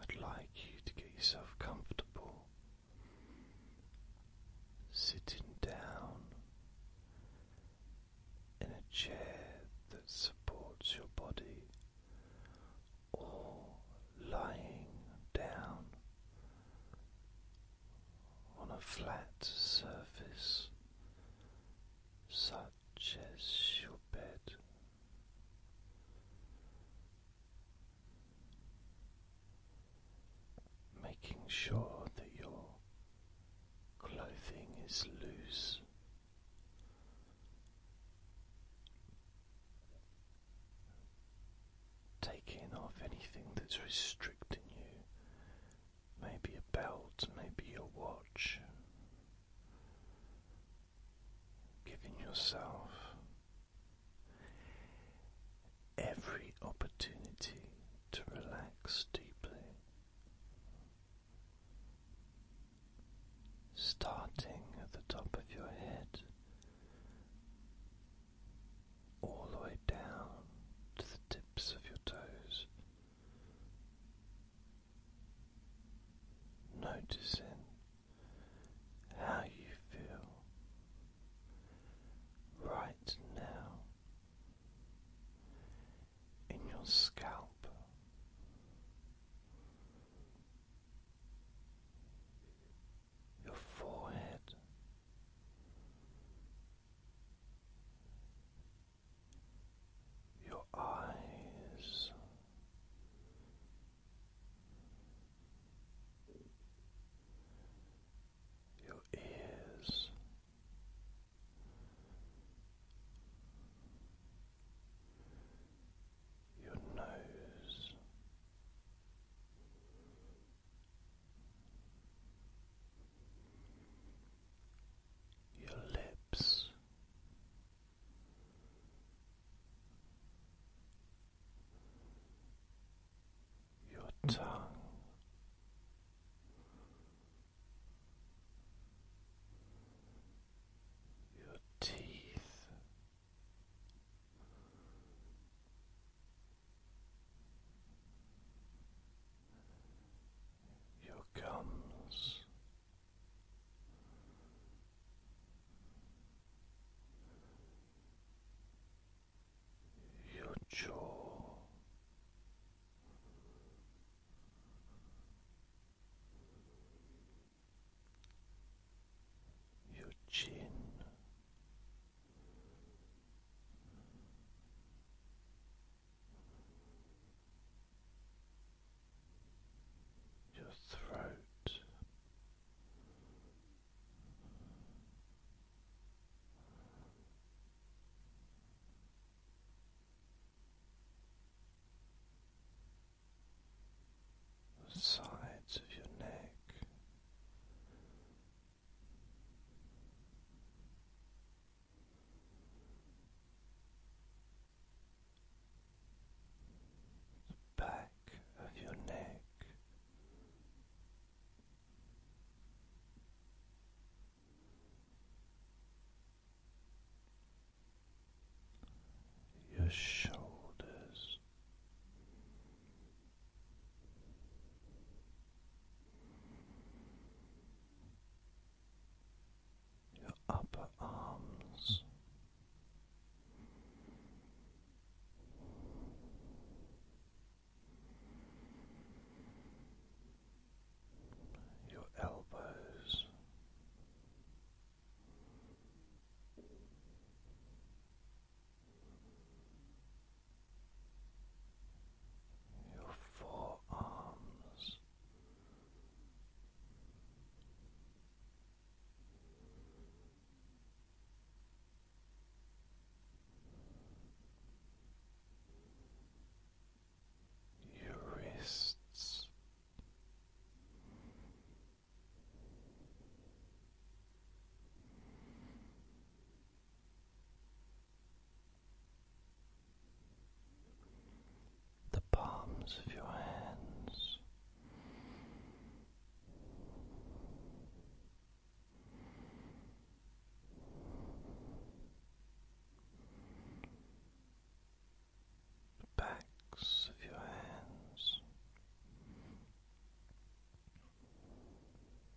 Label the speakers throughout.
Speaker 1: I'd like you to get yourself comfortable sitting down in a chair that supports your body or lying down on a flat surface. So just your bed. Making sure that your clothing is loose, taking off anything that's restricting you maybe a belt, maybe a watch, giving yourself every opportunity to relax deeply, starting at the top of your head. All the way down to the tips of your toes, Noticing how you feel right now in your scalp, your forehead, your eyes. Your ears, your nose, your lips. Your tongue, your teeth, your gums. Your jaw, your chin, your throat. The sides of your neck, the back of your neck. Your shoulders, your upper arms. Your elbows, your forearms. Your wrists, the palms of your hands. The backs of your hands,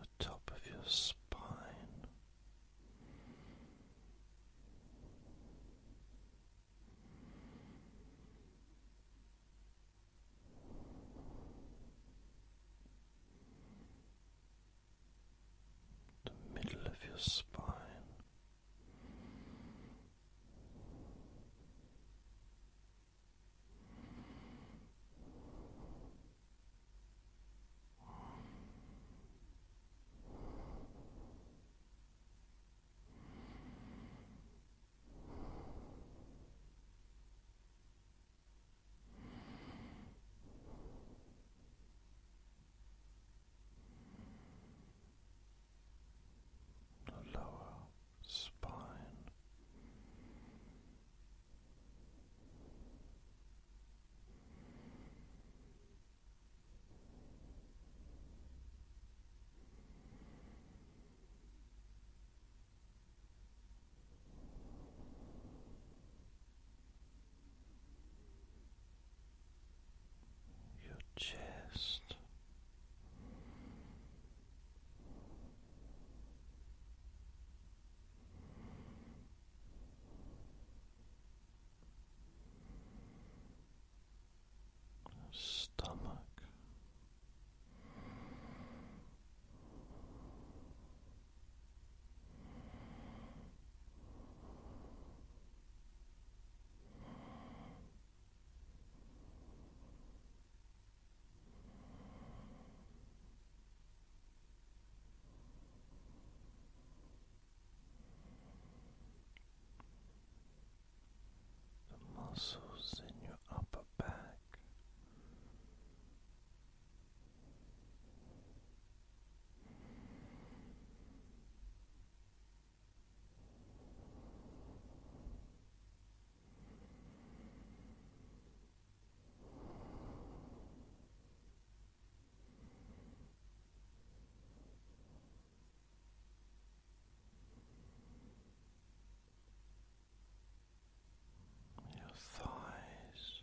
Speaker 1: the top of your spine the middle of your spine the lower spine. Your your chest. Stomach, the muscles in your upper back your thighs.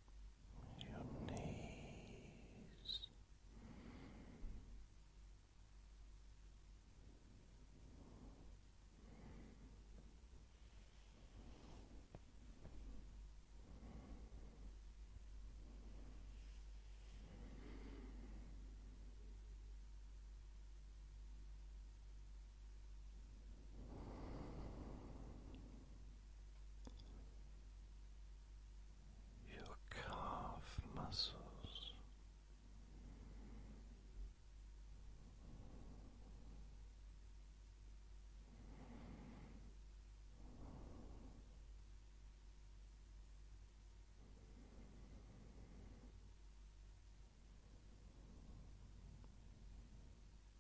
Speaker 1: your knees, your calf muscles.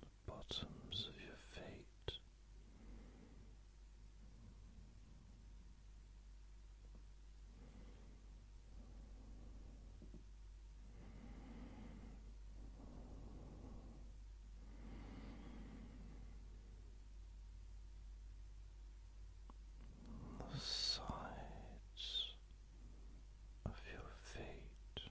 Speaker 1: the bottoms of your feet. The sides of your feet,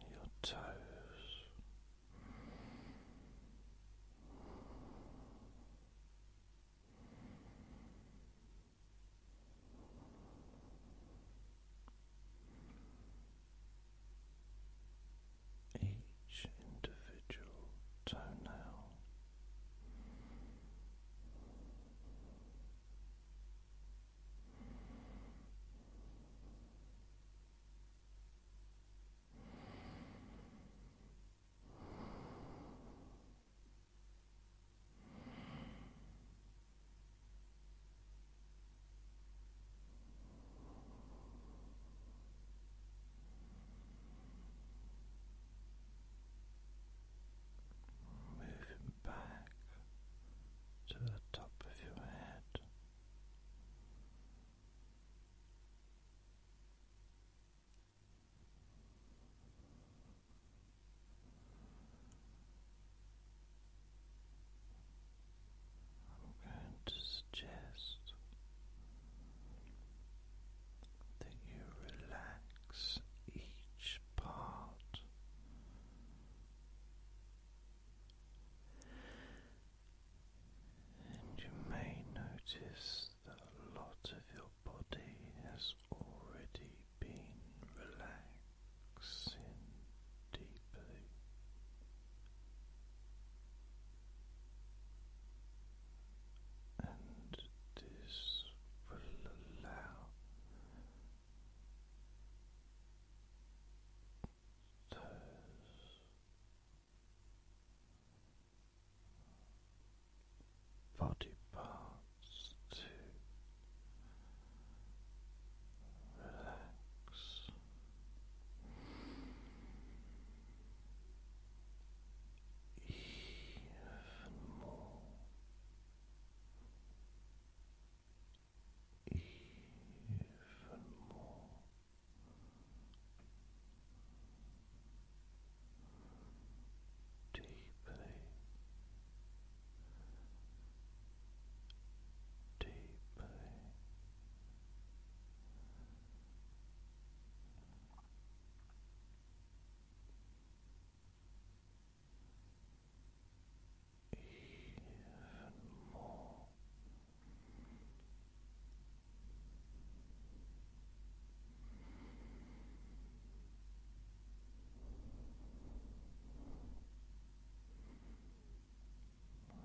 Speaker 1: your toes. Each individual toenail. Moving back to the top of your head. I'm going to suggest that you relax each part and you may notice that a lot of your body has already been relaxing deeply. And this will allow toes. Body parts to relax. Even more even more. Deeply, deeply, even more.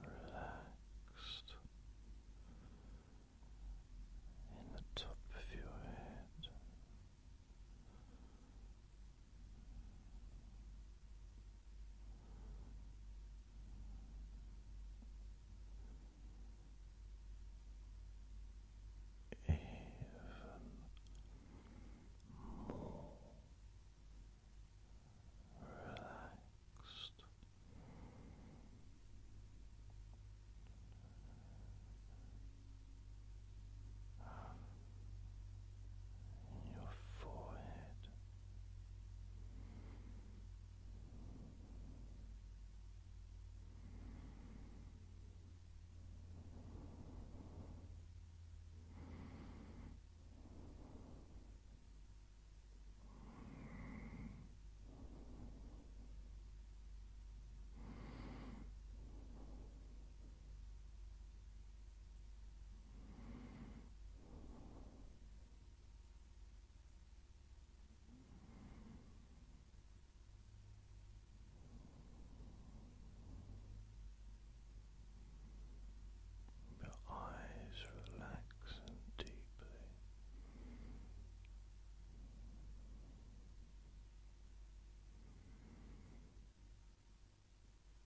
Speaker 1: Relaxed in the top of your head, even more relaxed and your forehead. Your eyes relax and deeply.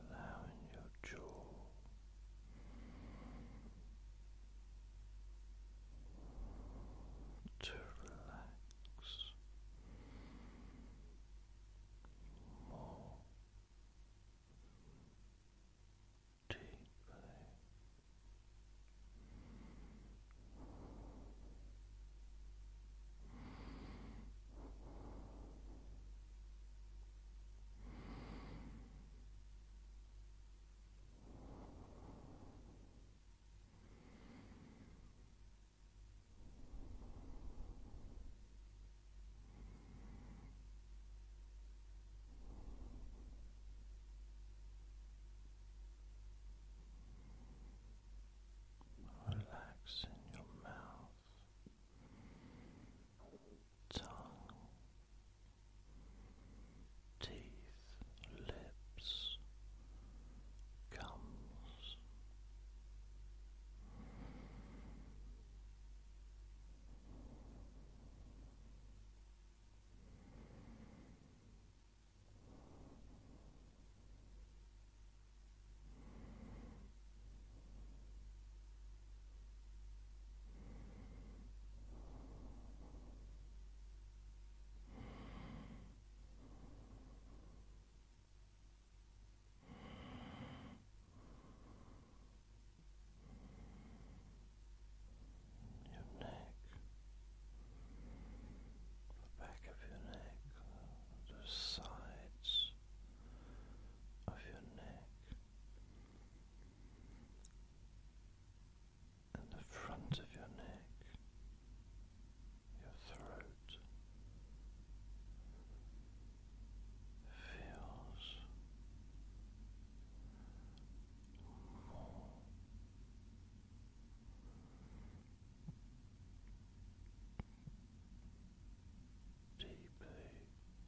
Speaker 1: allowing your jaw to relax more deeply. Relax in your mouth tongue, teeth, lips, gums. Your neck, the back of your neck, the sides of your neck and the front of your neck, your throat feels more. Deeply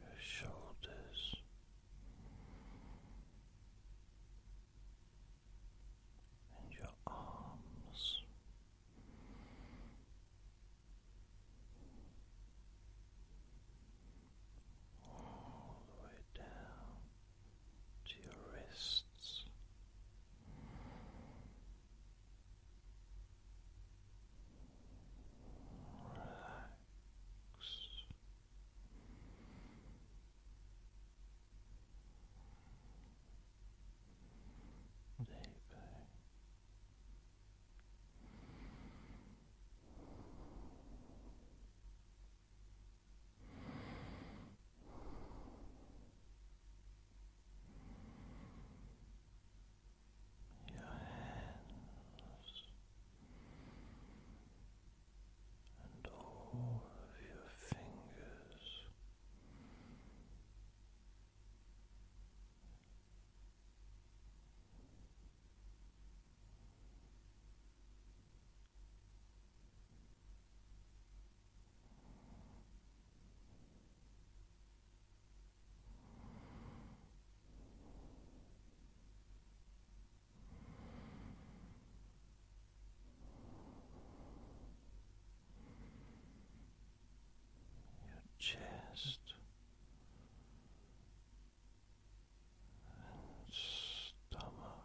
Speaker 1: your shoulders. And your arms, all the way down to your wrists. Relax. Deeply your hands and all of your fingers. Your chest and stomach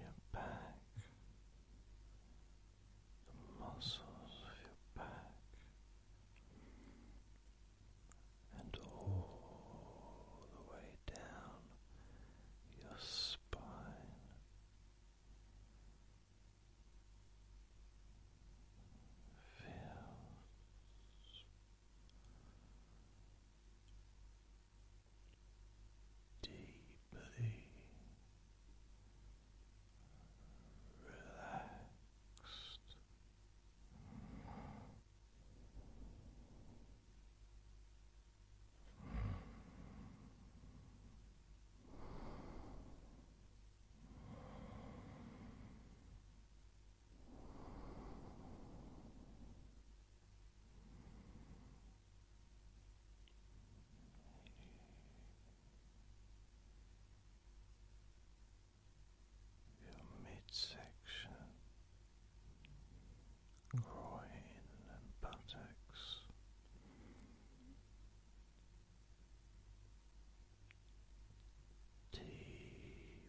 Speaker 1: your back, the muscles of your back, and all the way down your spine. Feels deeply relaxed your midsection, groin and buttocks. Deeply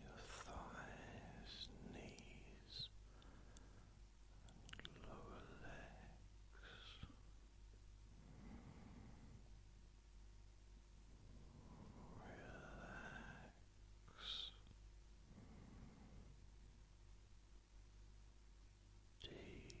Speaker 1: your thighs, knees, and lower legs. Relax deeply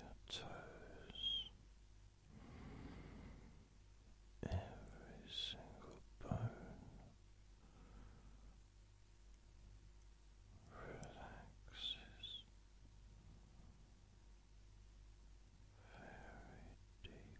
Speaker 1: Your toes, every single bone relaxes very deeply.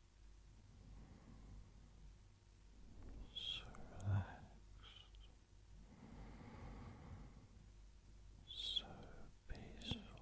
Speaker 1: so relaxed, so peaceful.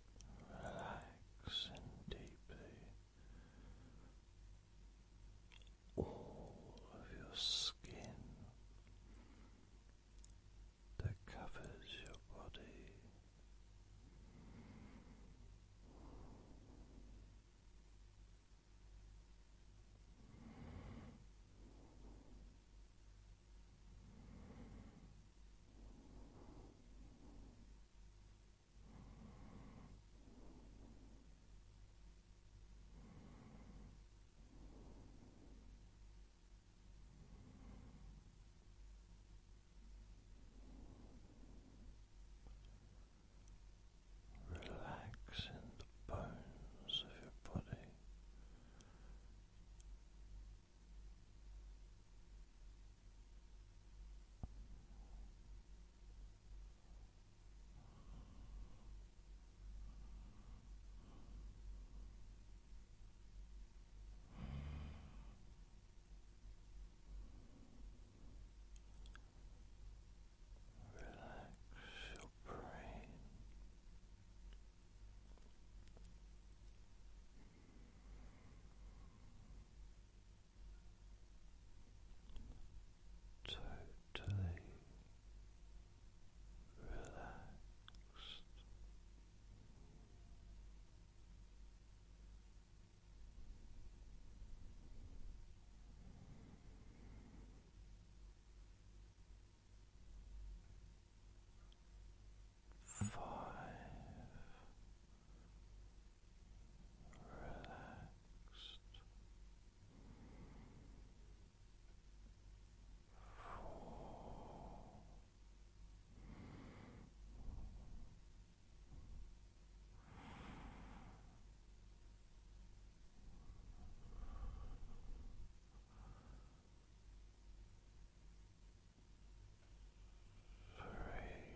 Speaker 1: relaxing deeply all of your skin that covers your body. Relax in the bones of your body Relax your brain. Totally relaxed. Five. Relaxed. Four three. Relax.